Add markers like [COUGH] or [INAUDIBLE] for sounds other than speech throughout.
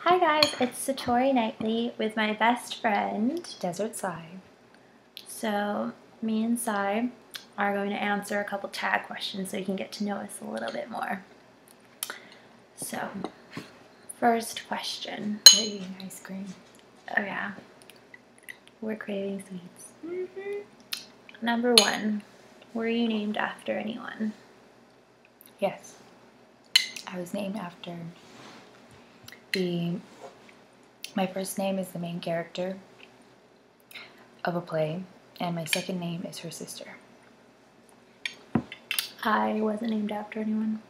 Hi guys, it's Satori Knightley with my best friend, Desert Sai. So, me and Sai are going to answer a couple tag questions so you can get to know us a little bit more. So, first question. We're eating ice cream. Oh yeah. We're craving sweets. Mm-hmm. Number one, were you named after anyone? Yes. I was named after the. My first name is the main character of a play, and my second name is her sister. I wasn't named after anyone.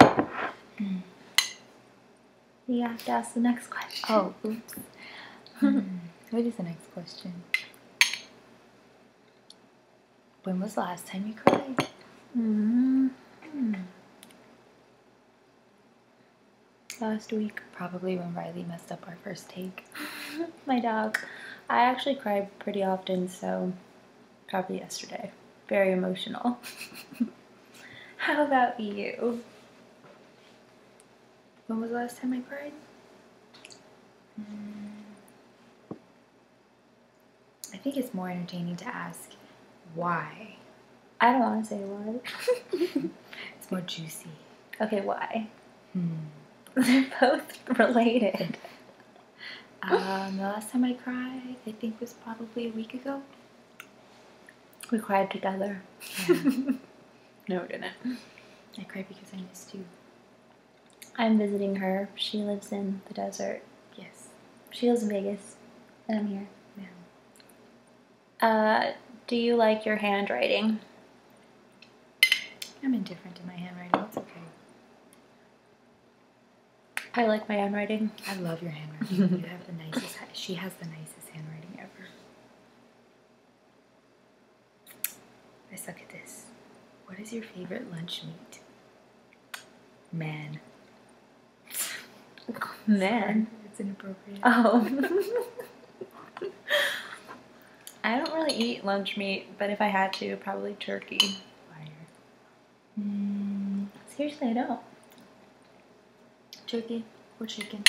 Mm. You have to ask the next question. Oh, oops. [LAUGHS] What is the next question? When was the last time you cried? Mm-hmm. Last week, probably when Riley messed up our first take. [LAUGHS] My dog. I actually cry pretty often, so probably yesterday. Very emotional. [LAUGHS] How about you? When was the last time I cried? Mm. I think it's more entertaining to ask why. I don't want to say why. [LAUGHS] [LAUGHS] it's more juicy. Okay, why? Hmm. [LAUGHS] They're both related. Um, the last time I cried, I think, was probably a week ago. We cried together. no, we didn't. I cried because I missed you. I'm visiting her. She lives in the desert. Yes. She lives in Vegas, and I'm here. Yeah. Uh, do you like your handwriting? I'm indifferent to my handwriting. It's okay. I like my handwriting. I love your handwriting. [LAUGHS] you have the nicest. She has the nicest handwriting ever. I suck at this. What is your favorite lunch meat? Man. [LAUGHS] Man. It's inappropriate. Oh. [LAUGHS] I don't really eat lunch meat, but if I had to, probably turkey. Mm, seriously, I don't. Turkey or chicken.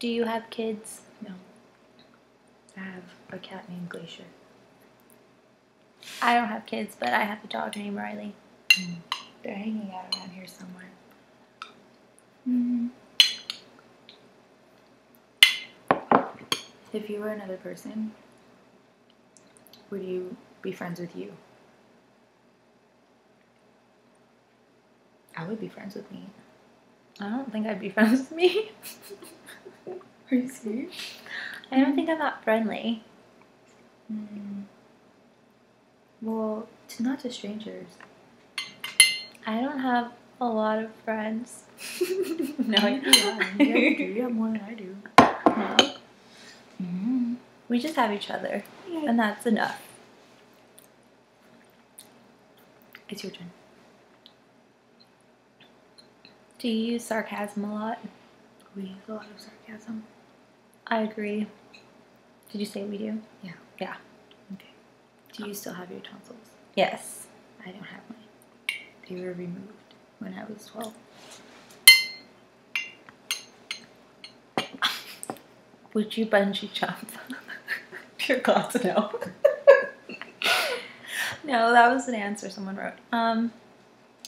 Do you have kids? No. I have a cat named Glacier. I don't have kids, but I have a dog named Riley. Mm. They're hanging out around here somewhere. Mm-hmm. If you were another person, would you be friends with you? I would be friends with me. I don't think I'd be [LAUGHS] friends with me. Are you serious? I don't think I'm that friendly. Hmm. Well, not to strangers. I don't have a lot of friends. [LAUGHS] no, I do. You have more than I do. No. Hmm. We just have each other, and that's enough. It's your turn. Do you use sarcasm a lot? We use a lot of sarcasm. I agree. Did you say we do? Yeah. Yeah. Okay. Do you still have your tonsils? Yes. I don't have mine. They were removed when I was 12. [LAUGHS] Would you bungee jump? Dear God, no no, that was an answer someone wrote. Um,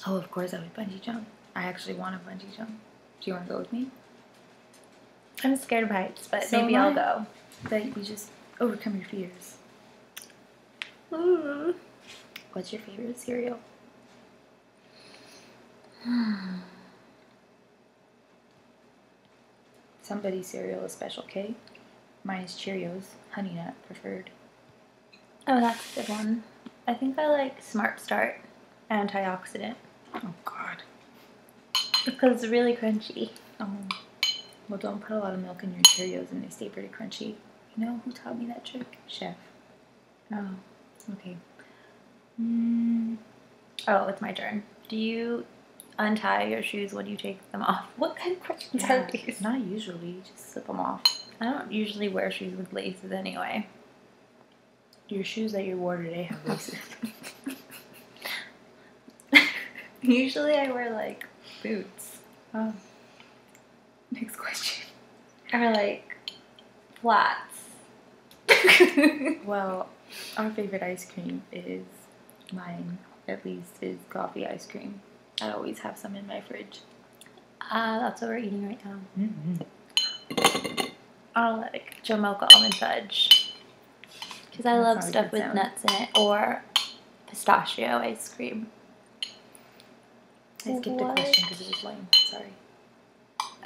oh, of course I would bungee jump. I actually want to bungee jump. Do you want to go with me? I'm scared of heights, but maybe I'll go. But you just overcome your fears. What's your favorite cereal? Somebody cereal is special K. minus Cheerios, Honey Nut preferred. Oh, that's a good one. I think I like Smart Start antioxidant. Oh, God. Because it's really crunchy. Oh. Well, don't put a lot of milk in your Cheerios and they stay pretty crunchy. You know who taught me that trick? Chef. Oh, okay. Mm, Oh, it's my turn. Do you untie your shoes when you take them off? [LAUGHS] What kind of questions are these? Not usually. You just slip them off. I don't usually wear shoes with laces anyway. Your shoes that you wore today have laces. [LAUGHS] usually I wear like boots. Oh. Next question. Or like flats. [LAUGHS] well, our favorite ice cream is mine at least, is coffee ice cream. I always have some in my fridge. Ah, that's what we're eating right now. Mm-hmm. I'll let it Jamocha almond fudge. Because I love stuff with nuts in it. Or pistachio ice cream. I skipped what? a question because it was lame. Sorry.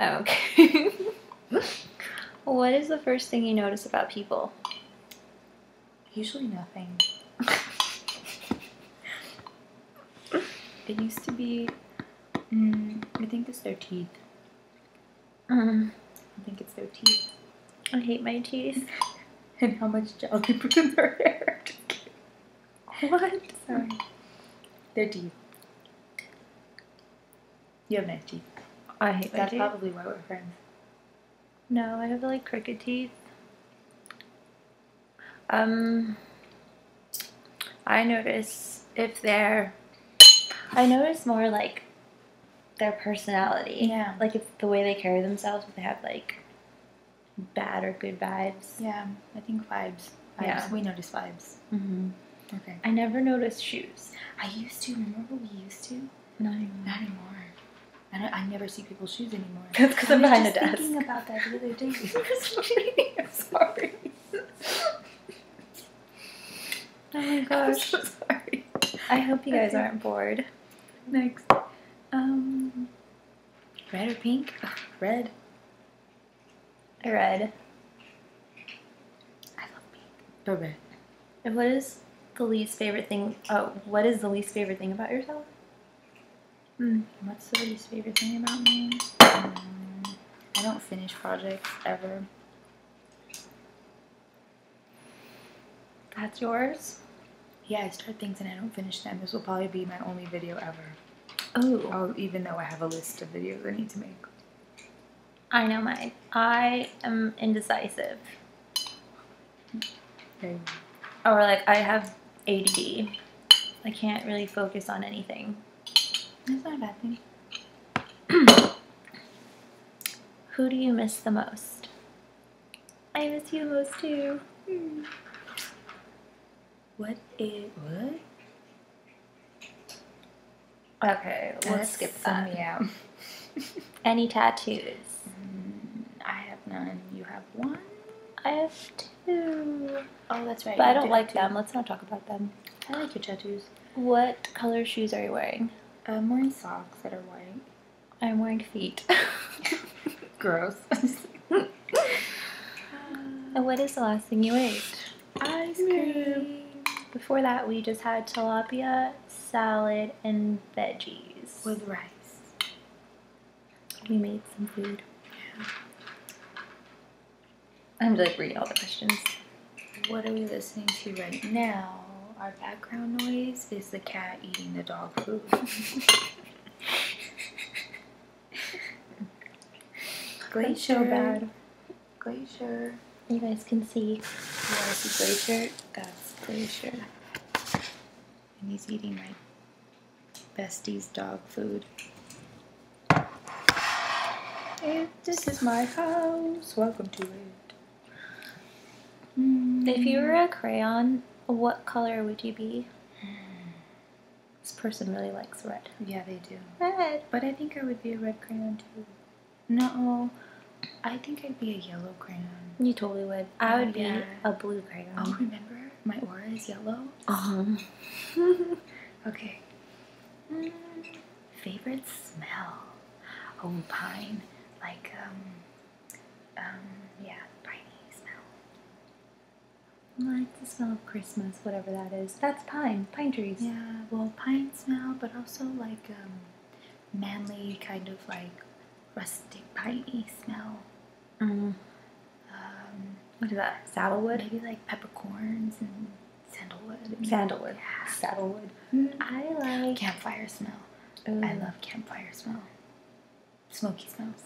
Oh, okay. [LAUGHS] [LAUGHS] what is the first thing you notice about people? Usually nothing. it used to be. Mm, I think it's their teeth. Um. I think it's their teeth. I hate my teeth. [LAUGHS] and how much gel they put in their hair. [LAUGHS] what? Sorry. Their teeth. You have nice teeth. I hate That's my teeth. probably why we're friends. No, I have like crooked teeth. Um, I notice if they're, I notice more like their personality. Yeah. Like it's the way they carry themselves, if they have like bad or good vibes. Yeah, I think vibes. Vibes. Yeah. We notice vibes. Mm-hmm. Okay. I never noticed shoes. I used to. Remember we used to? Not anymore. Not anymore. I, don't, I never see people's shoes anymore. That's [LAUGHS] because I'm behind the desk. Thinking about that the other day. [LAUGHS] [LAUGHS] i sorry. oh my gosh. I hope you guys aren't bored. Next, um, red or pink? Ugh, red. Red. I love pink. But red. And what is the least favorite thing? Oh, what is the least favorite thing about yourself? Hmm, what's the least favorite thing about me? Hmm, I don't finish projects ever. That's yours? Yeah, I start things and I don't finish them. This will probably be my only video ever. Oh. i oh, even though I have a list of videos I need to make. I know mine. I am indecisive. Or like I have ADD. I can't really focus on anything. That's not a bad thing. [CLEARS THROAT] Who do you miss the most? I miss you most too. Mm. What is what? Okay, let's, skip that. Yeah. [LAUGHS] Any tattoos? Mm, I have none. You have one. I have two. Oh, that's right. But I don't like them. let Let's not talk about them. I like your tattoos. What color shoes are you wearing? I'm wearing socks that are white. I'm wearing feet. [LAUGHS] Gross. And [LAUGHS] uh, what is the last thing you ate? Ice cream. Before that, we just had tilapia salad, and veggies. With rice. We made some food. I'm like reading all the questions. What are we listening to right now? Our background noise is the cat eating the dog food. [LAUGHS] Glacier. That's so Glacier. You guys can see. You see Glacier? That's Glacier. And he's eating my bestie's dog food. If this is my house. Welcome to it. Mm. If you were a crayon, what color would you be? Hmm. This person really likes red. Yeah, they do. Red. But I think I would be a red crayon too. No, I think I'd be a yellow crayon. You totally would. I would be a blue crayon. Oh, remember? My aura is yellow. Um. [LAUGHS] okay. Favorite smell? Oh, pine. Like, um, um, yeah, piney smell. like the smell of Christmas, whatever that is. That's pine, pine trees. Yeah, well, pine smell, but also like, um, manly kind of like rustic piney smell. Mm-hmm. Um, what is that? Saddlewood? Maybe like peppercorns and sandalwood. Sandalwood. Yeah. Saddlewood. Mm, I like campfire smell. I love campfire smell. Smoky smells.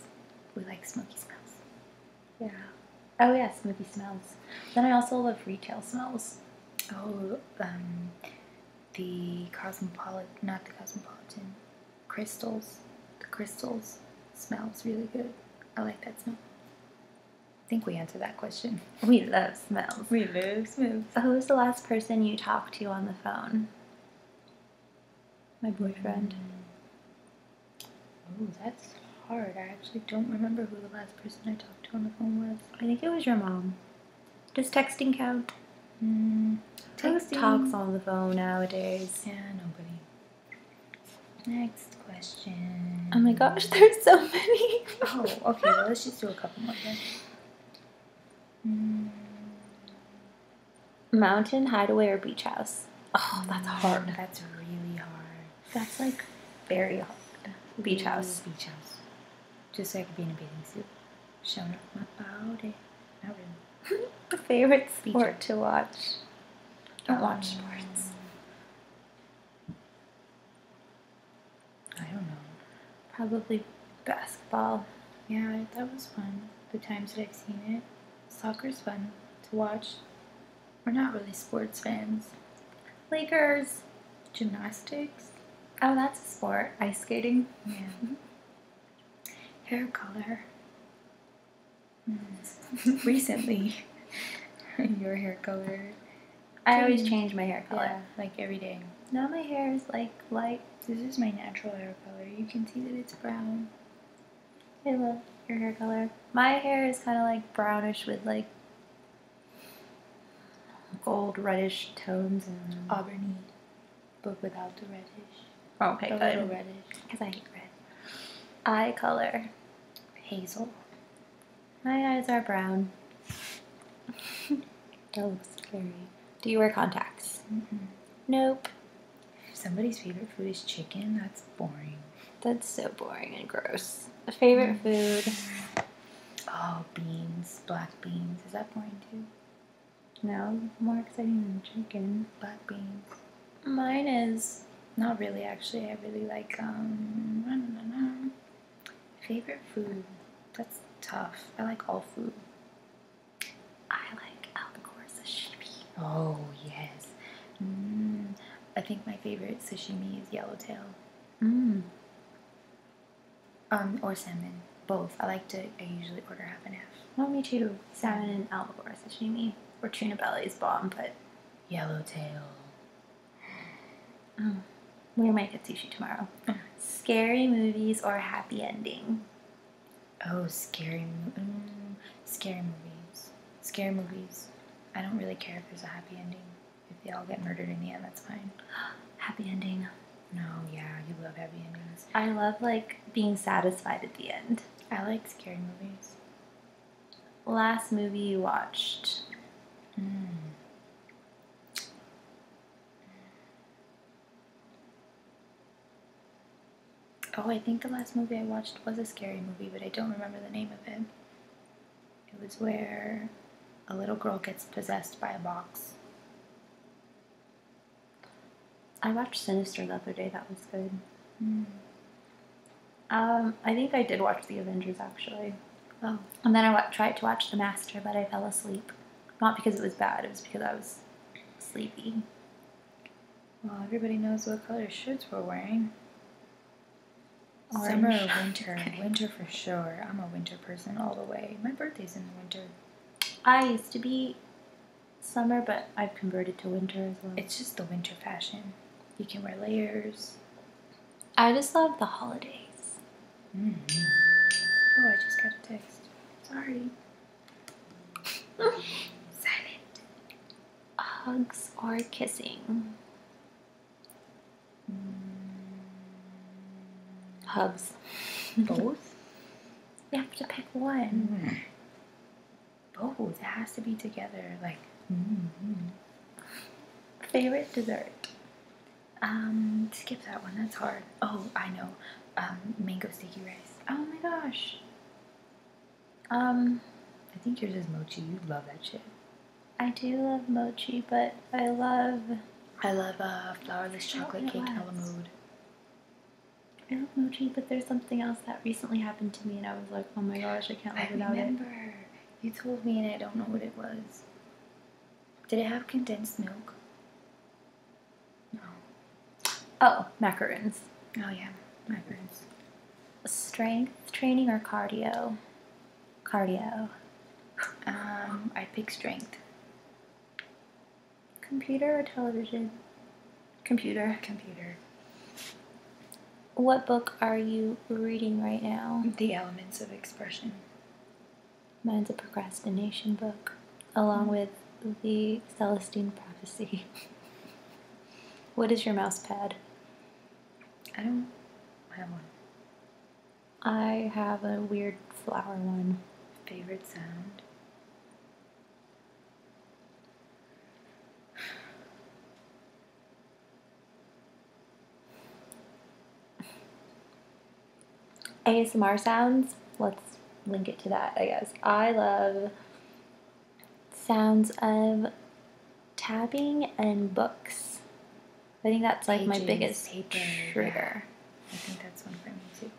We like smoky smells. Yeah. Oh yeah, smoky smells. Then I also love retail smells. Oh, um, the cosmopolitan, not the cosmopolitan, crystals. The crystals smells really good. I like that smell. I think we answered that question. [LAUGHS] We love smells. We love smells. Who was the last person you talked to on the phone? My boyfriend. Oh, that's hard. I actually don't remember who the last person I talked to on the phone was. I think it was your mom. Does texting count? Mm, texting. talks on the phone nowadays? Yeah, nobody. Next question. Oh my gosh, there's so many. oh, okay. let's just do a couple more then. Mm. Mountain hideaway or beach house? Oh, that's hmm. hard. That's really hard. That's like very hard. Beach house. Beach house just so I could be in a bathing suit, showing off my body. Not really. the [LAUGHS] favorite sport to watch. Don't watch um, sports. I don't know. Probably basketball. Yeah, that was fun. The times that I've seen it, soccer's fun to watch. We're not really sports fans. Lakers, gymnastics. Oh, that's a sport. Ice skating. Yeah. Hair color. Hmm. Recently, [LAUGHS] your hair color. I always change my hair color, yeah. like every day. Now my hair is like light. This is my natural hair color. You can see that it's brown. I love your hair color. My hair is kind of like brownish with like gold reddish tones and auburny, but without the reddish. Oh, okay, good. because I hate red. Eye color hazel. My eyes are brown. [LAUGHS] that scary. Do you wear contacts? Nope. somebody's favorite food is chicken, that's boring. That's so boring and gross. A favorite mm. food. [LAUGHS] Oh, beans, black beans. Is that going to? No, more exciting than chicken, black beans. Mine is not really actually. I really like um favorite food. That's tough. I like all food. I like albacore sashimi. Oh yes. Mm. I think my favorite sashimi is yellowtail. Mmm. Um, or salmon. Both. I like to, I usually order half and half. No, oh, me too. Salmon and albacore sashimi. Or tuna belly is bomb, but yellowtail. Mm. We might get sushi tomorrow. Mm. Scary movies or happy ending? Oh, scary mo- mm, Scary movies. Scary movies. I don't really care if there's a happy ending. If they all get murdered in the end, that's fine. [GASPS] happy ending. No, yeah, you love happy endings. I love like being satisfied at the end. I like scary movies. Last movie you watched? Hmm. Oh, I think the last movie I watched was a scary movie, but I don't remember the name of it. It was where a little girl gets possessed by a box. I watched Sinister the other day. That was good. Hmm. Um, I think I did watch The Avengers actually. Oh. And then I tried to watch The Master, but I fell asleep. Not because it was bad. It was because I was sleepy. Well, everybody knows what color shirts we're wearing. Armor or winter? [LAUGHS] Winter for sure. I'm a winter person all the way. My birthday's in the winter. I used to be summer, but I've converted to winter as well. It's just the winter fashion. You can wear layers. I just love the holidays. Mm-hmm. Oh, I just got a text. Sorry. [LAUGHS] Silent. Hugs or kissing? Mm. Hugs. Both? you have to pick one. Mm. Both. It has to be together. Like, mm-hmm. favorite dessert. Um, skip that one. That's hard. Oh, I know. Um, mango sticky rice. Oh my gosh. Um, I think yours is mochi. You love that shit. I do love mochi, but I love. I love uh, flourless chocolate cake a la mode. I love mochi, but there's something else that recently happened to me, and I was like, oh my gosh, I can't live without remember. it. remember. You told me, and I don't know what it was. Did it have condensed milk? No. Oh, macarons. Oh, yeah, macarons. Strength training or cardio? cardio. Um, i pick strength. Computer or television? Computer. Computer. What book are you reading right now? The Elements of Expression. Mine's a procrastination book, along mm-hmm. with the Celestine Prophecy. [LAUGHS] what is your mouse pad? I don't have one. I have a weird flower one. Favorite sound? ASMR sounds. Let's link it to that, I guess. I love sounds of tabbing and books. I think that's like my biggest taping, trigger. I think that's one for me too.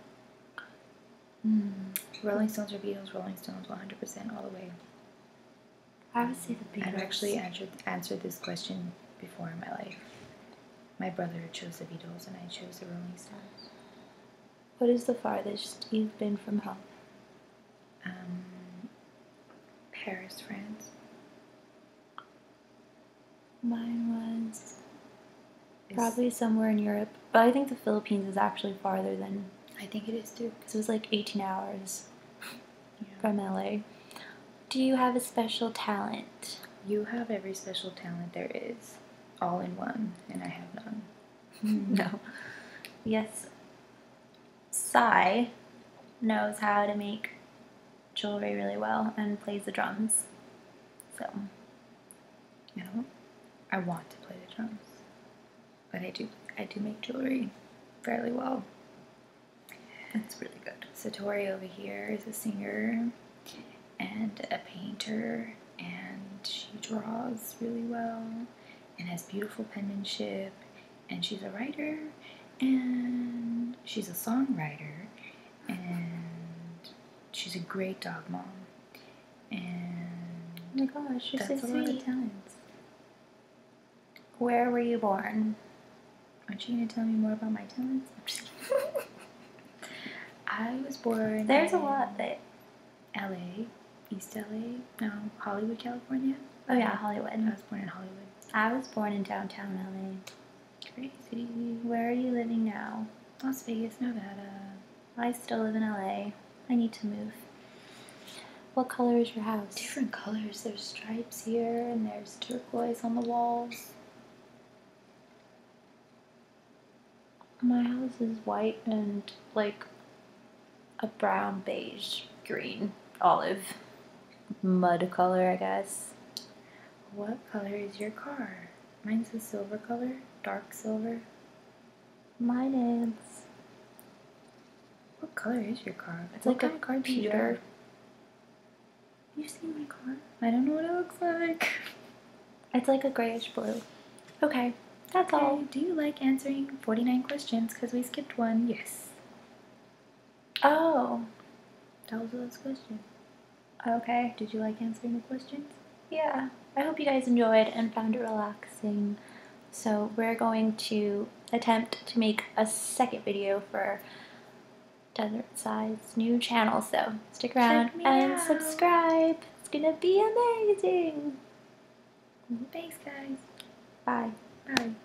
Hmm. Rolling Stones or Beatles? Rolling Stones, 100% all the way. I would say the Beatles. I've actually answered, answered this question before in my life. My brother chose the Beatles and I chose the Rolling Stones. What is the farthest you've been from home? Um, Paris, France. Mine was probably somewhere in Europe, but I think the Philippines is actually farther than I think it is too, because it was like 18 hours from LA. Do you have a special talent? You have every special talent there is, all in one, and I have none. [LAUGHS] no. Yes. Sai knows how to make jewelry really well and plays the drums. So, you know, I want to play the drums, but I do I do make jewelry fairly well. That's really good. Satori over here is a singer and a painter, and she draws really well and has beautiful penmanship and she's a writer and she's a songwriter and she's a great dog mom. And oh my gosh, you're that's so a lot of talents. Where were you born? Aren't you gonna tell me more about my talents? I'm just kidding. [LAUGHS] I was born. There's a lot that. L.A., East L.A., no, Hollywood, California. Oh yeah, Hollywood. I was born in Hollywood. I was born in downtown LA. Crazy. Where are you living now? Las Vegas, Nevada. I still live in LA. I need to move. What color is your house? Different colors. There's stripes here and there's turquoise on the walls. My house is white and like a brown, beige, green, olive mud color, I guess. What color is your car? Mine's a silver color, dark silver. Mine is. What color is your car? It's like a of you have? my car? I don't know what it looks like. [LAUGHS] It's like a grayish blue. Okay, that's all. Do you like answering 49 questions? Because we skipped one. Yes. Oh, that was the last question. Okay, did you like answering the questions? Yeah, I hope you guys enjoyed and found it relaxing. So we're going to attempt to make a second video for Desert Side's new channel. So stick around and subscribe. It's gonna be amazing. Thanks, guys. Bye. Bye.